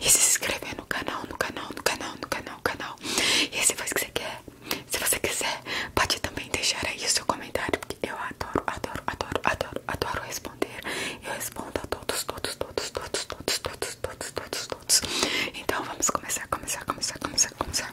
e se inscrever no canal, no canal, no canal, no canal, canal. E se você quer. Se você quiser, pode também deixar aí o seu comentário, porque eu adoro, adoro, adoro, adoro, adoro responder. Eu respondo a todos, todos, todos, todos, todos, todos, todos, todos, todos. Então vamos começar, começar, começar, começar, começar.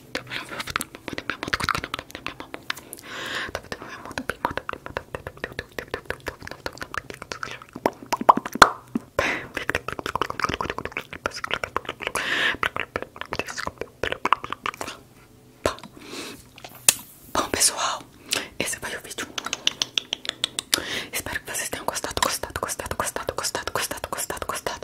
Bom pessoal, esse foi o vídeo. Espero que vocês tenham gostado, gostado, gostado, gostado, gostado, gostado, gostado, gostado.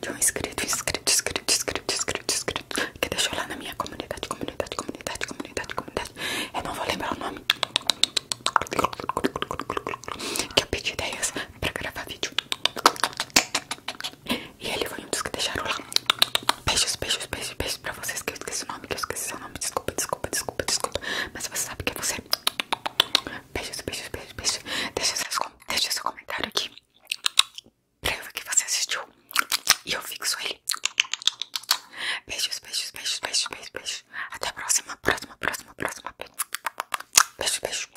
de um inscrito, inscrito, inscrito, inscrito, inscrito, inscrito que deixou lá na minha comunidade, comunidade, comunidade, comunidade, comunidade. Eu não vou lembrar o nome. Que eu pedi ideias pra gravar vídeo. E ele foi um dos que deixaram lá. Beijos, beijos, beijos, beijos pra vocês que eu esqueci o nome, que eu esqueci seu nome. Desculpa, desculpa, desculpa, desculpa. Mas você sabe que é você. Beijos, beijos, beijos, beijos. Deixa, seus, seu comentário aqui. Pra eu ver que você assistiu. E eu vi fixo ele. Beijos, beijos, beijos, beijos, beijos, beijos. Até a próxima, próxima, próxima, próxima. Beijo, beijo.